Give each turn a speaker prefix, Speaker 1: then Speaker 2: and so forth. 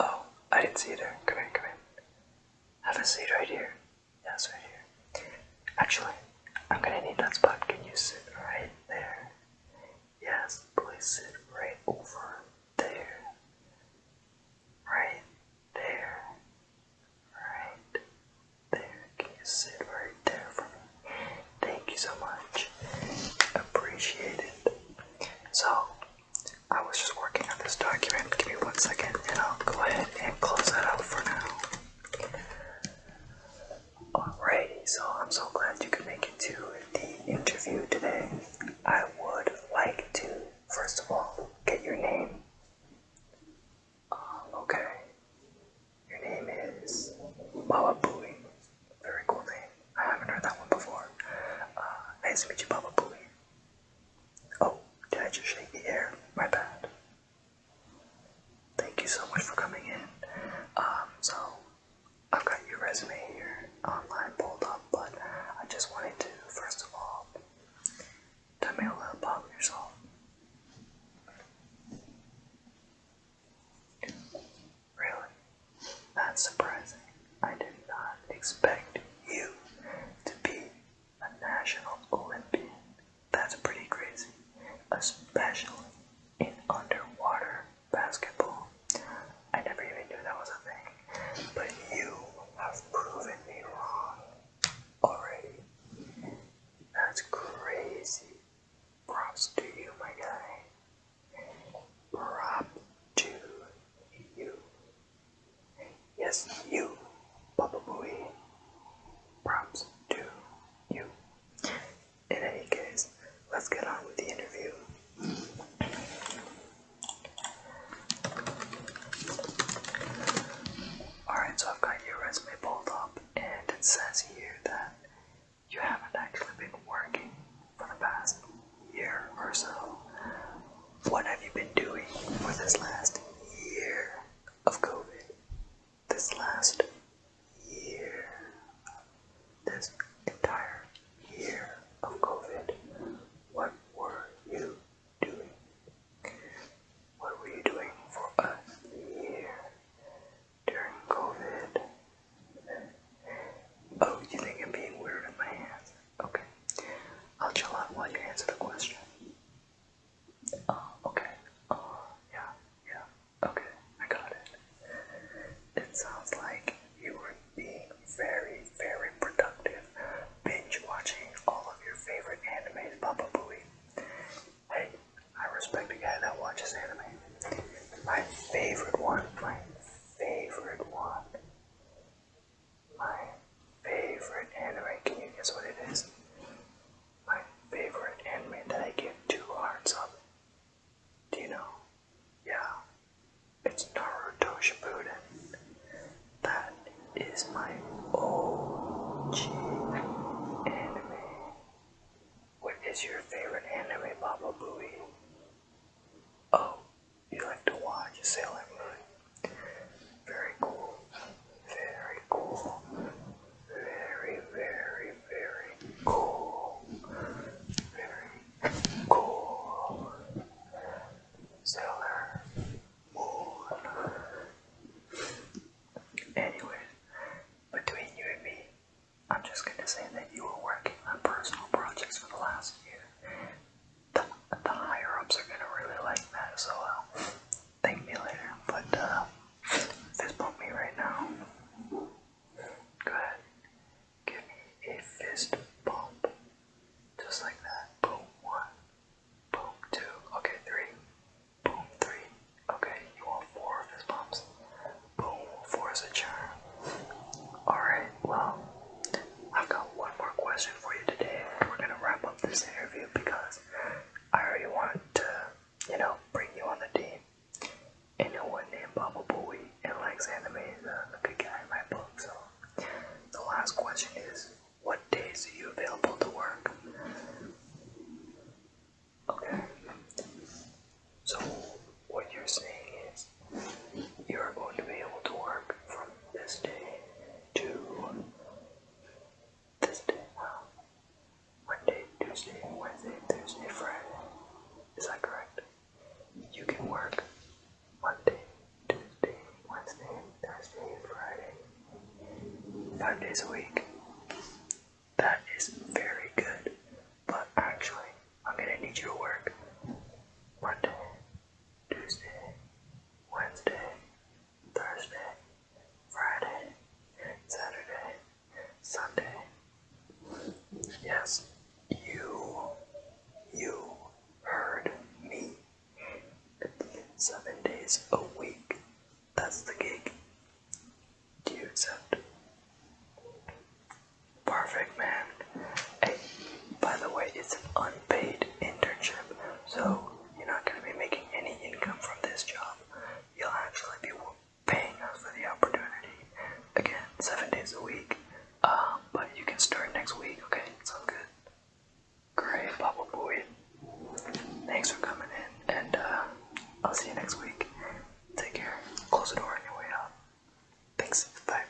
Speaker 1: Oh, I didn't see you there. Come in, come in. Have a seat right here. Yes, right here. Actually, I'm gonna need that spot. Can you sit right there? Yes, please sit right over there. Right there. Right there. Can you sit right there for me? Thank you so much. Appreciate it. So, I was just working on this document. Give me one second and I'll go ahead and close that out for now. Alrighty, so I'm so glad you could make it to the interview today. I would like to, first of all, get your name. Um, okay. Your name is Baba Booey. Very cool name. I haven't heard that one before. Uh, nice to meet you, Baba Booey. Oh, did I just shake the air? My bad. Thank you so much for coming in. Um, so I've got your resume here online pulled up, but I just wanted to first of all tell me a little about yourself. Really? That's surprising. I did not expect you to be a national Olympian. That's pretty crazy, especially in underwater basketball. I never even knew that was a thing, but you have proven me wrong already. That's crazy. Props to you, my guy. Prop to you. Yes, you, Papa Booey. Props to you. In any case, let's get on with the interview. Alright, so I've got your resume pulled up, and it says here that you haven't actually been working for the past year or so. What have you been doing for this last year of COVID? This last year, this entire year of COVID, what were you doing? What were you doing for a year during COVID? Oh, you think I'm being weird in my hands? Okay. I'll chill out while you answer the question. Oh, okay. Oh, yeah, yeah. Okay, I got it. It sounds like you were being very, very productive, binge watching all of your favorite animes, Papa Booey. Hey, I respect a guy that watches anime. My favorite one, my favorite one. My favorite anime. Can you guess what it is? My favorite anime that I give two hearts up. Do you know? Yeah. It's Naruto Shippuden. That is my OG anime. What is your favorite anime, Baba Booey? Oh, you like to watch Sailor Moon? Very cool. Very cool. Very, very, very cool. Very cool. Sailor Moon. Anyway, between you and me, I'm just going to say that you were working on personal projects for the last year. The, the higher ups are going to really like that, so uh, thank me later. But uh, fist bump me right now. Go ahead. Give me a fist bump. Just like that. Boom, one. Boom, two. Okay, three. Boom, three. Okay, you want four fist bumps? Boom, four is Alright, well, I've got one more question for you today, and we're gonna wrap up this interview because I already want to, you know, bring you on the team. And no one named Baba Booey and likes anime is a good guy in my book, so the last question is what days are you available to work? Okay. So what you're saying is you're going to be able to work from this day to this day now. Monday, Tuesday, Wednesday, Thursday, Friday. Is that correct? You can work Monday, Tuesday, Wednesday, Thursday, Friday. Five days a week. That is very good. But actually, I'm gonna need you to work Monday, Tuesday, Wednesday, Thursday, Friday, Saturday, Sunday. Yes, you, you heard me. Seven days a week. That's the gig. Do you accept? Perfect, man. Hey, by the way, it's an unpaid internship, so you're not going to be making any income from this job. You'll actually be paying us for the opportunity. Again, seven days a week. Um, but you can start next week, okay? Sounds good. Great, bubble Boy. Thanks for coming in, and uh, I'll see you next week. Take care. Close the door on your way out. Thanks. Bye.